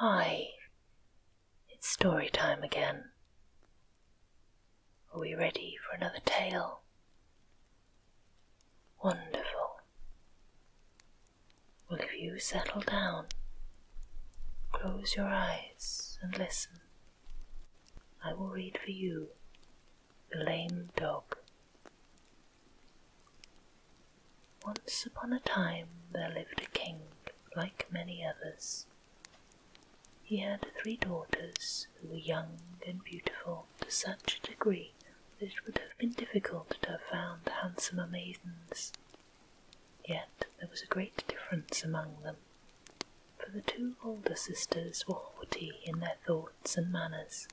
Hi, it's story time again. Are we ready for another tale? Wonderful. Well, if you settle down, close your eyes and listen, I will read for you The Lame Dog. Once upon a time there lived a king, like many others. He had three daughters who were young and beautiful to such a degree that it would have been difficult to have found handsomer maidens. Yet there was a great difference among them, for the two older sisters were haughty in their thoughts and manners,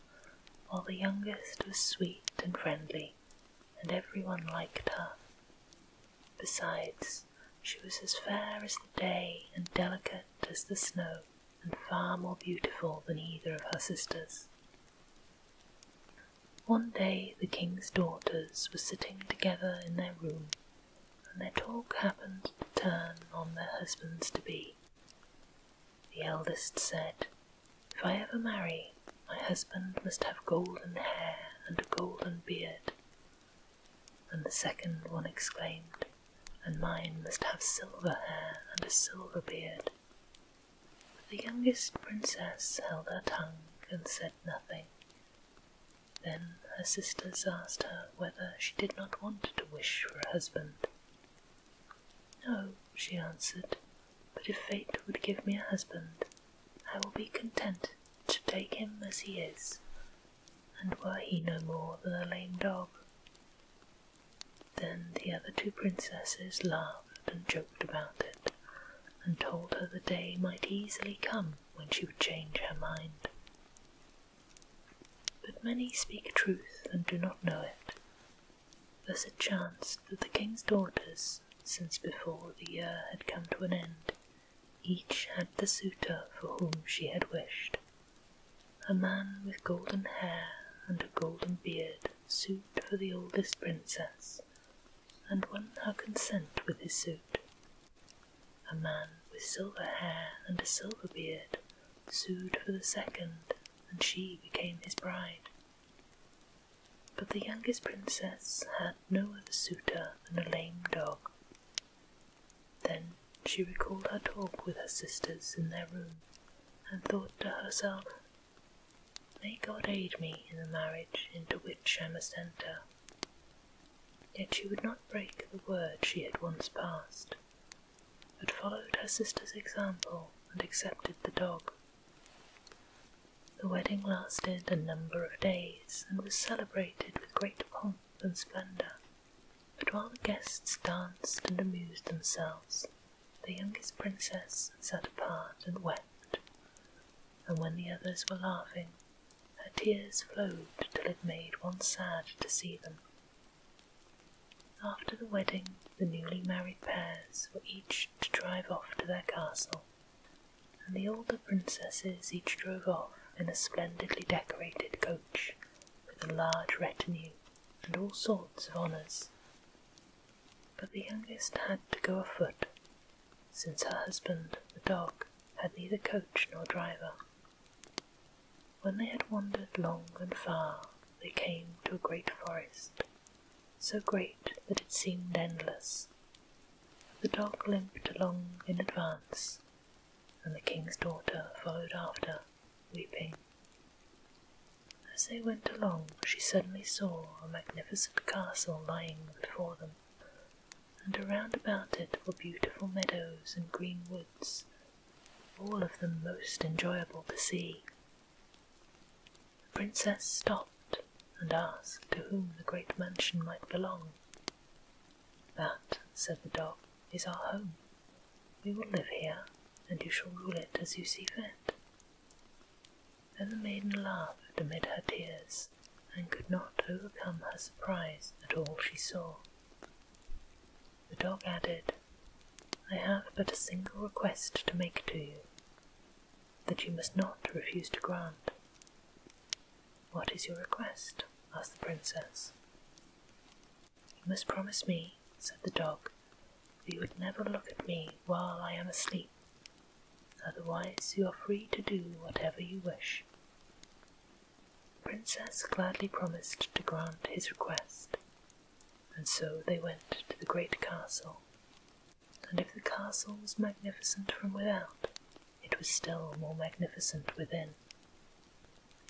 while the youngest was sweet and friendly pretty, and everyone liked her. Besides, she was as fair as the day and delicate as the snow, and far more beautiful than either of her sisters. One day the king's daughters were sitting together in their room, and their talk happened to turn on their husbands to be. The eldest said, If I ever marry, my husband must have golden hair and a golden beard. And the second one exclaimed, And mine must have silver hair and a silver beard. But the youngest princess held her tongue and said nothing. Then her sisters asked her whether she did not want to wish for a husband. No, she answered, but if fate would give me a husband, I will be content to take him as he is, and were he no more than a lame dog. Then the other two princesses laughed and joked about it, and told her the day might easily come when she would change her mind. But many speak truth and do not know it. Thus it chanced was the king's daughters, since before the year had come to an end, each had the suitor for whom she had wished. A man with golden hair and a golden beard sued for the oldest princess, and won her consent with his suit. A man with silver hair and a silver beard sued for the second, and she became his bride. But the youngest princess had no other suitor than a lame dog. Then she recalled her talk with her sisters in their room, and thought to herself, May God aid me in the marriage into which I must enter. Yet she would not break the word she had once passed, but followed her sister's example and accepted the dog. The wedding lasted a number of days and was celebrated with great pomp and splendour. But while the guests danced and amused themselves, the youngest princess sat apart and wept, and when the others were laughing, her tears flowed till it made one sad to see them. After the wedding, the newly married pairs were each to drive off to their castle, and the older princesses each drove off in a splendidly decorated coach with a large retinue and all sorts of honours. But the youngest had to go afoot, since her husband, the dog, had neither coach nor driver. When they had wandered long and far, they came to a great forest, so great that it seemed endless, the dog limped along in advance, and the king's daughter followed after, weeping. As they went along, she suddenly saw a magnificent castle lying before them, and around about it were beautiful meadows and green woods, all of them most enjoyable to see. The princess stopped and asked to whom the great mansion might belong. That, said the dog, is our home. We will live here, and you shall rule it as you see fit. Then the maiden laughed amid her tears, and could not overcome her surprise at all she saw. The dog added, I have but a single request to make to you, that you must not refuse to grant. What is your request? asked the princess. You must promise me, said the dog, that you would never look at me while I am asleep. Otherwise, you are free to do whatever you wish. The princess gladly promised to grant his request, and so they went to the great castle, and if the castle was magnificent from without, it was still more magnificent within.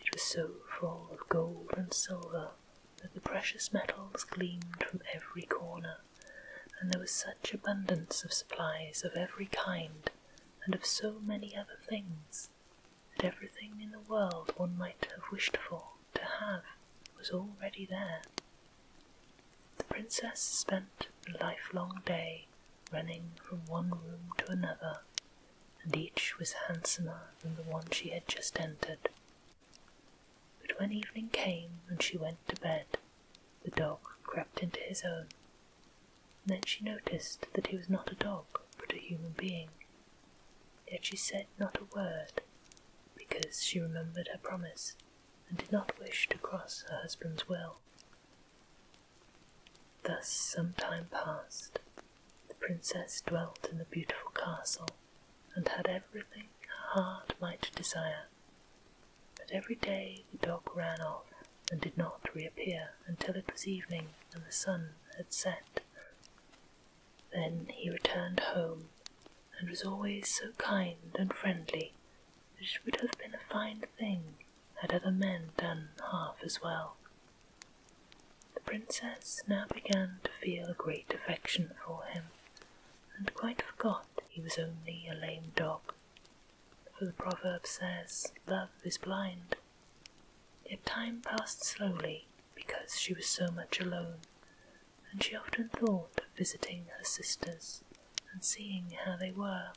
It was so full of gold and silver that the precious metals gleamed from every corner, and there was such abundance of supplies of every kind and of so many other things that everything in the world one might have wished for to have was already there. The princess spent a lifelong day running from one room to another, and each was handsomer than the one she had just entered. But when evening came and she went to bed, the dog crept into his own. then she noticed that he was not a dog, but a human being. Yet she said not a word, because she remembered her promise and did not wish to cross her husband's will. Thus some time passed. The princess dwelt in the beautiful castle, and had everything her heart might desire. But every day the dog ran off and did not reappear until it was evening and the sun had set. Then he returned home, and was always so kind and friendly which would have been a fine thing had other men done half as well. The princess now began to feel a great affection for him, and quite forgot he was only a lame dog. For the proverb says, Love is blind. Yet time passed slowly because she was so much alone, and she often thought of visiting her sisters and seeing how they were.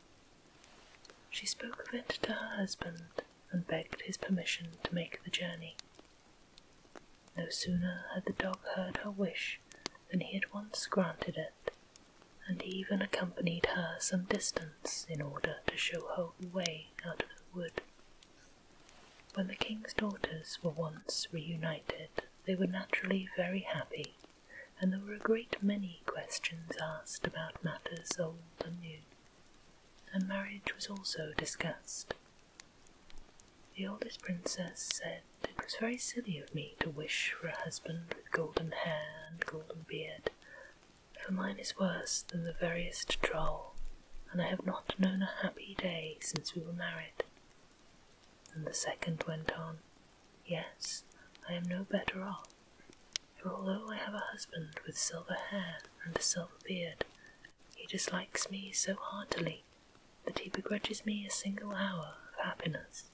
She spoke of it to her husband and begged his permission to make the journey. No sooner had the dog heard her wish than he at once granted it, and even accompanied her some distance in order to show her the way out of the wood. When the king's daughters were once reunited, they were naturally very happy and there were a great many questions asked about matters old and new, and marriage was also discussed. The oldest princess said it was very silly of me to wish for a husband with golden hair and golden beard, for mine is worse than the veriest troll, and I have not known a happy day since we were married. And the second went on, Yes, I am no better off, for although I have a husband with silver hair and a silver beard, he dislikes me so heartily that he begrudges me a single hour of happiness.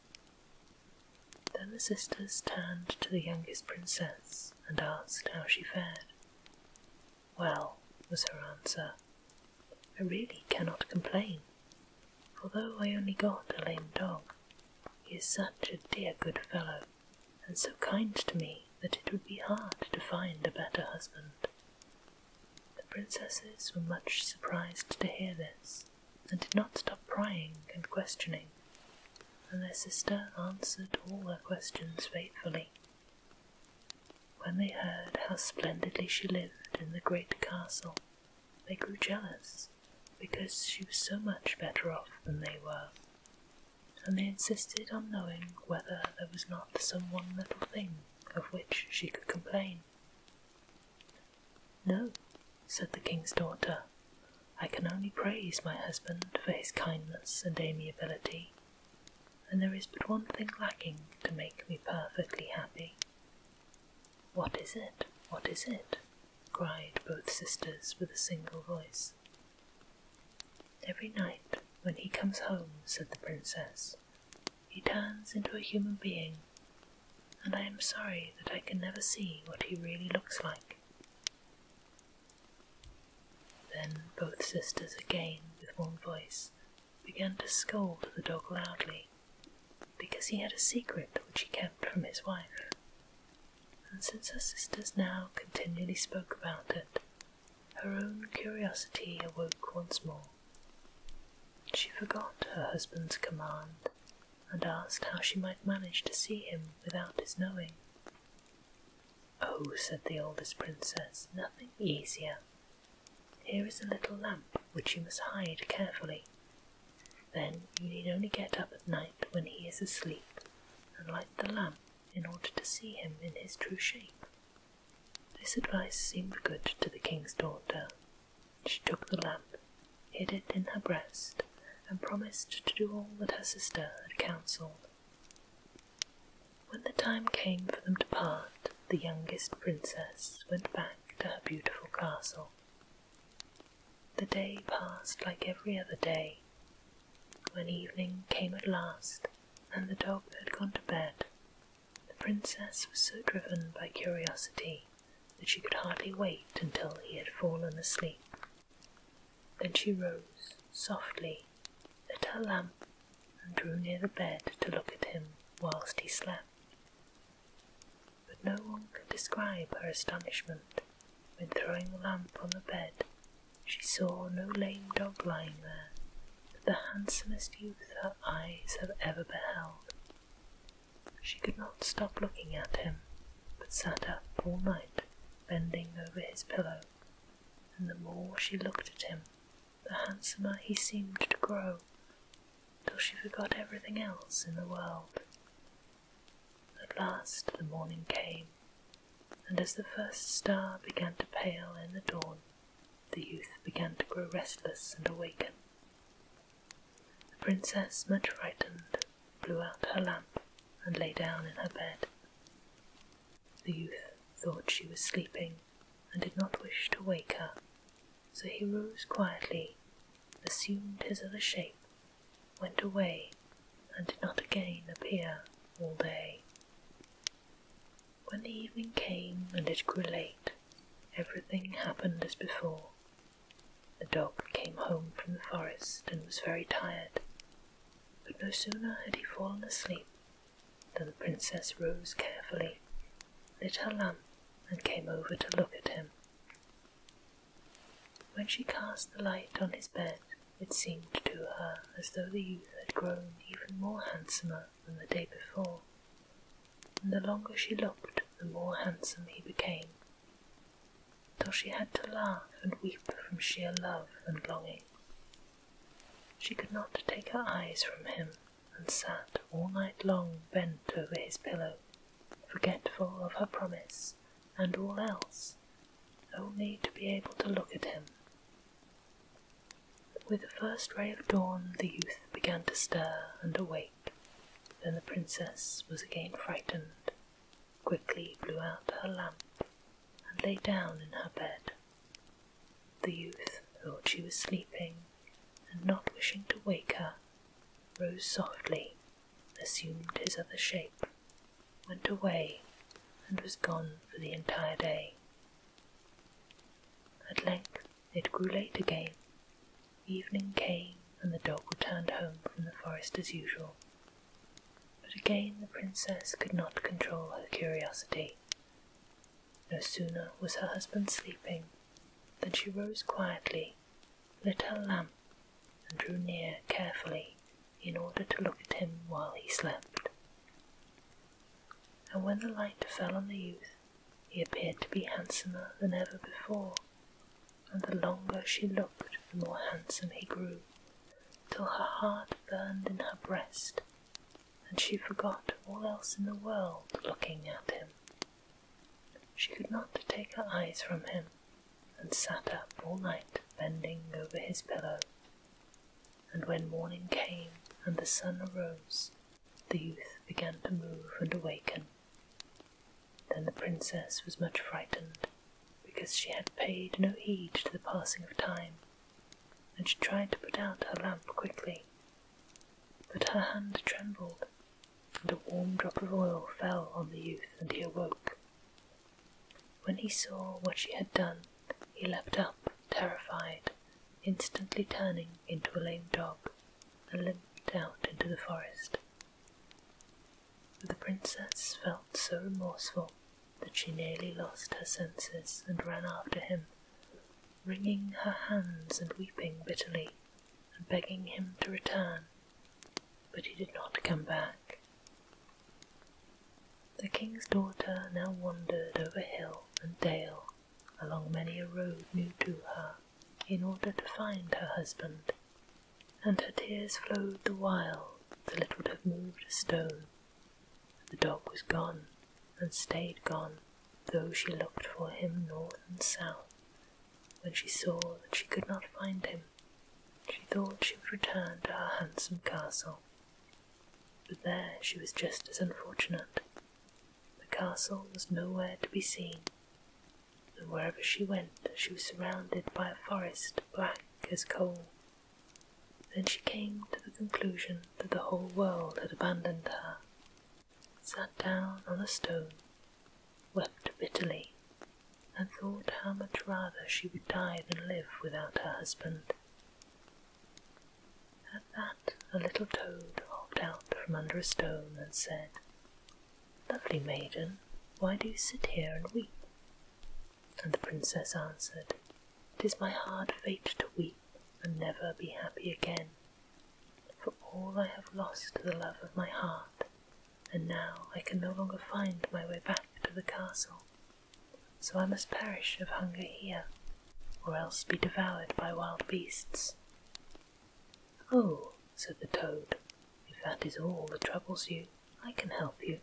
Then the sisters turned to the youngest princess and asked how she fared. Well, was her answer, I really cannot complain. For though I only got a lame dog, he is such a dear good fellow, and so kind to me that it would be hard to find a better husband. The princesses were much surprised to hear this, and did not stop prying and questioning, and their sister answered all their questions faithfully. When they heard how splendidly she lived in the great castle, they grew jealous because she was so much better off than they were, and they insisted on knowing whether there was not some one little thing of which she could complain. No, said the king's daughter, I can only praise my husband for his kindness and amiability, and there is but one thing lacking to make me perfectly happy. What is it? What is it? cried both sisters with a single voice. Every night when he comes home, said the princess, he turns into a human being, and I am sorry that I can never see what he really looks like. Then both sisters again, with one voice, began to scold the dog loudly, because he had a secret which he kept from his wife, and since her sisters now continually spoke about it, her own curiosity awoke once more. She forgot her husband's command and asked how she might manage to see him without his knowing. Oh, said the oldest princess, nothing easier. Here is a little lamp which you must hide carefully, then you need only get up at night when he is asleep and light the lamp in order to see him in his true shape. This advice seemed good to the king's daughter. She took the lamp, hid it in her breast, and promised to do all that her sister had counselled. When the time came for them to part, the youngest princess went back to her beautiful castle, the day passed like every other day. When evening came at last, and the dog had gone to bed, the princess was so driven by curiosity that she could hardly wait until he had fallen asleep. Then she rose softly, lit her lamp, and drew near the bed to look at him whilst he slept but no one could describe her astonishment when, throwing the lamp on the bed, she saw no lame dog lying there, but the handsomest youth her eyes have ever beheld. She could not stop looking at him, but sat up all night, bending over his pillow, and the more she looked at him, the handsomer he seemed to grow, till she forgot everything else in the world. At last the morning came, and as the first star began to pale in the dawn, the youth began to grow restless and awaken. The princess, much frightened, blew out her lamp and lay down in her bed. The youth thought she was sleeping and did not wish to wake her, so he rose quietly, assumed his other shape, went away and did not again appear all day. When the evening came and it grew late, everything happened as before. The dog came home from the forest and was very tired, but no sooner had he fallen asleep than the princess rose carefully, lit her lamp, and came over to look at him. When she cast the light on his bed, it seemed to her as though the youth had grown even more handsomer than the day before, and the longer she looked, the more handsome he became, till she had to laugh and weep from sheer love and longing. She could not take her eyes from him, and sat all night long bent over his pillow, forgetful of her promise and all else only to be able to look at him. With the first ray of dawn, the youth began to stir and awake. Then the princess was again frightened, quickly blew out her lamp, and lay down in her bed. The youth thought she was sleeping, and not wishing to wake her, rose softly, assumed his other shape, went away and was gone for the entire day. At length it grew late again. Evening came, and the dog returned home from the forest as usual. But again the princess could not control her curiosity. No sooner was her husband sleeping than she rose quietly lit a lamp, and drew near carefully in order to look at him while he slept. And when the light fell on the youth, he appeared to be handsomer than ever before, and the longer she looked, the more handsome he grew, till her heart burned in her breast, and she forgot all else in the world looking at him. She could not take her eyes from him, and sat up all night bending over his pillow. And when morning came and the sun arose, the youth began to move and awaken. Then the princess was much frightened, because she had paid no heed to the passing of time, and she tried to put out her lamp quickly. But her hand trembled, and a warm drop of oil fell on the youth, and he awoke. When he saw what she had done, he leapt up, terrified, instantly turning into a lame dog, and limped out into the forest. The princess felt so remorseful that she nearly lost her senses and ran after him, wringing her hands and weeping bitterly, and begging him to return. But he did not come back. The king's daughter now wandered over hill and dale, along many a road new to her, in order to find her husband, and her tears flowed the while till it would have moved a stone. the dog was gone, and stayed gone, though she looked for him north and south. When she saw that she could not find him, she thought she would return to her handsome castle. But there she was just as unfortunate. The castle was nowhere to be seen, and wherever she went she was surrounded by a forest black as coal. Then she came to the conclusion that the whole world had abandoned her, sat down on a stone, wept bitterly, and thought how much rather she would die than live without her husband. At that, a little toad hopped out from under a stone and said, Lovely maiden, why do you sit here and weep? And the princess answered, "'Tis my hard fate to weep and never be happy again, for all I have lost the love of my heart and now I can no longer find my way back to the castle, so I must perish of hunger here, or else be devoured by wild beasts. Oh, said the toad, if that is all that troubles you, I can help you.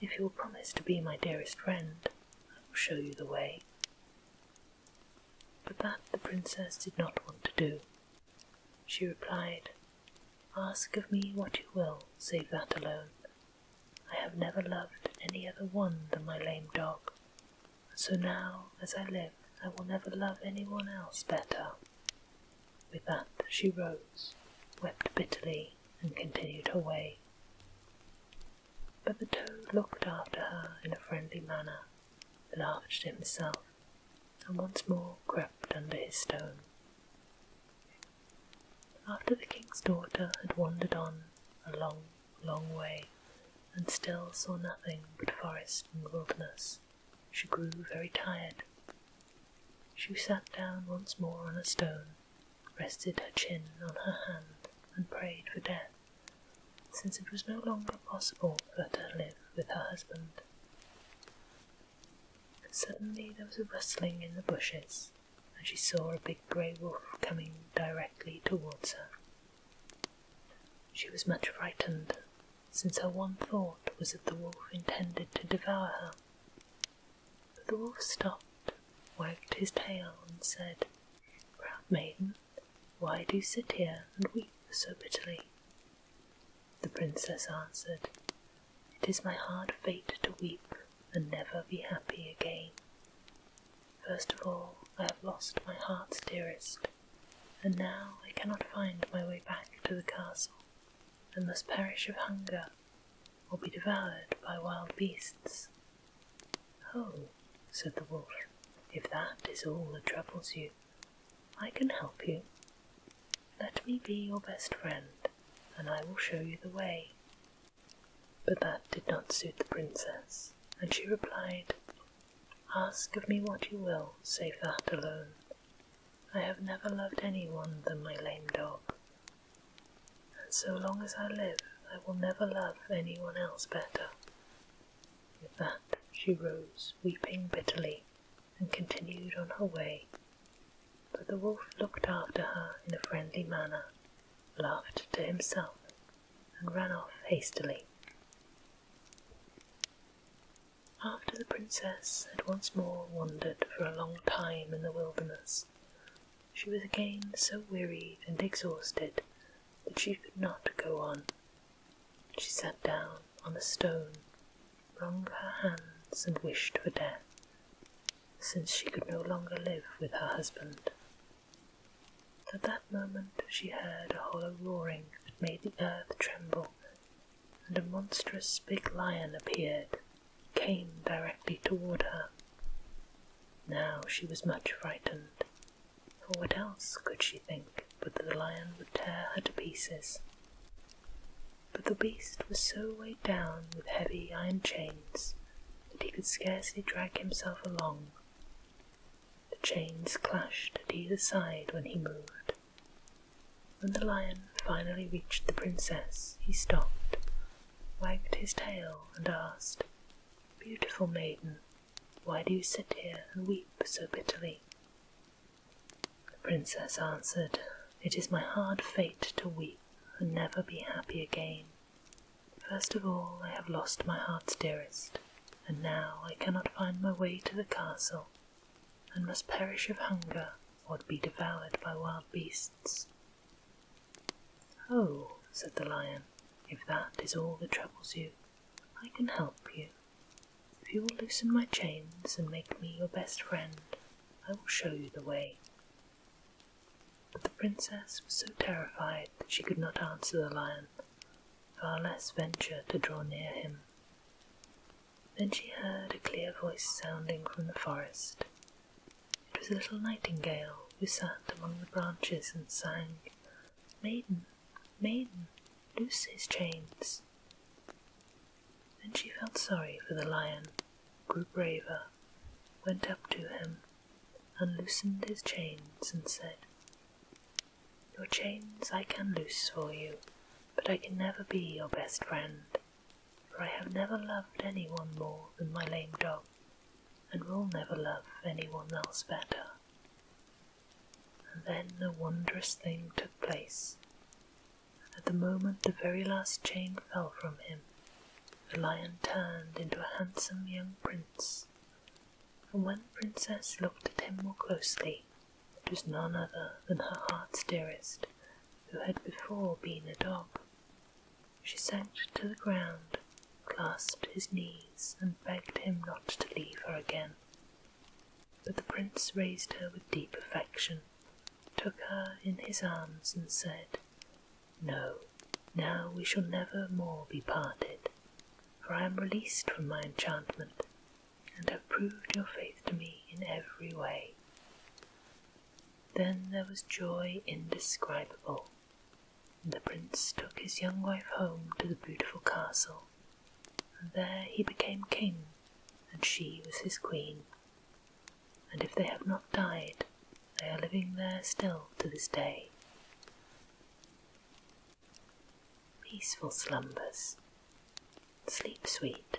If you will promise to be my dearest friend, I will show you the way. But that the princess did not want to do, she replied. Ask of me what you will, save that alone. I have never loved any other one than my lame dog, so now, as I live, I will never love any one else better. With that she rose, wept bitterly, and continued her way. But the toad looked after her in a friendly manner, laughed to himself, and once more crept under his stone. After the king's daughter had wandered on a long, long way, and still saw nothing but forest and wilderness, she grew very tired. She sat down once more on a stone, rested her chin on her hand, and prayed for death, since it was no longer possible for her to live with her husband. Suddenly there was a rustling in the bushes, and she saw a big grey wolf coming directly towards her. She was much frightened, since her one thought was that the wolf intended to devour her. But the wolf stopped, wagged his tail, and said, Proud maiden, why do you sit here and weep so bitterly? the princess answered. It is my hard fate to weep and never be happy again. First of all, I have lost my heart's dearest, and now I cannot find my way back to the castle, and must perish of hunger or be devoured by wild beasts. Oh, said the wolf, if that is all that troubles you, I can help you. Let me be your best friend, and I will show you the way. But that did not suit the princess, and she replied, Ask of me what you will, save that alone. I have never loved any one than my lame dog, and so long as I live, I will never love any one else better. With that, she rose, weeping bitterly, and continued on her way. But the wolf looked after her in a friendly manner, laughed to himself, and ran off hastily. After the princess had once more wandered for a long time in the wilderness, she was again so weary and exhausted that she could not go on. She sat down on a stone wrung her hands and wished for death, since she could no longer live with her husband. At that moment she heard a hollow roaring that made the earth tremble, and a monstrous big lion appeared, came directly toward her. Now she was much frightened, for what else could she think but that the lion would tear her to pieces? but the beast was so weighed down with heavy iron chains that he could scarcely drag himself along. The chains clashed at either side when he moved. When the lion finally reached the princess, he stopped, wagged his tail, and asked, Beautiful maiden, why do you sit here and weep so bitterly? The princess answered, It is my hard fate to weep and never be happy again. First of all, I have lost my heart's dearest, and now I cannot find my way to the castle, and must perish of hunger or be devoured by wild beasts. Oh, said the lion, if that is all that troubles you, I can help you. If you will loosen my chains and make me your best friend, I will show you the way, but the princess was so terrified that she could not answer the lion, far less venture to draw near him. Then she heard a clear voice sounding from the forest. It was a little nightingale who sat among the branches and sang, Maiden, maiden, loose his chains and she felt sorry for the lion, grew braver, went up to him, unloosened his chains, and said, Your chains I can loose for you, but I can never be your best friend, for I have never loved anyone more than my lame dog, and will never love anyone else better. And then a wondrous thing took place. At the moment the very last chain fell from him, the lion turned into a handsome young prince, and when the princess looked at him more closely, it was none other than her heart's dearest, who had before been a dog. She sank to the ground, clasped his knees, and begged him not to leave her again. But the prince raised her with deep affection, took her in his arms, and said, no, now we shall never more be parted, for I am released from my enchantment, and have proved your faith to me in every way. Then there was joy indescribable, and the prince took his young wife home to the beautiful castle, and there he became king, and she was his queen and if they have not died, they are living there still to this day. Peaceful slumbers, sleep sweet.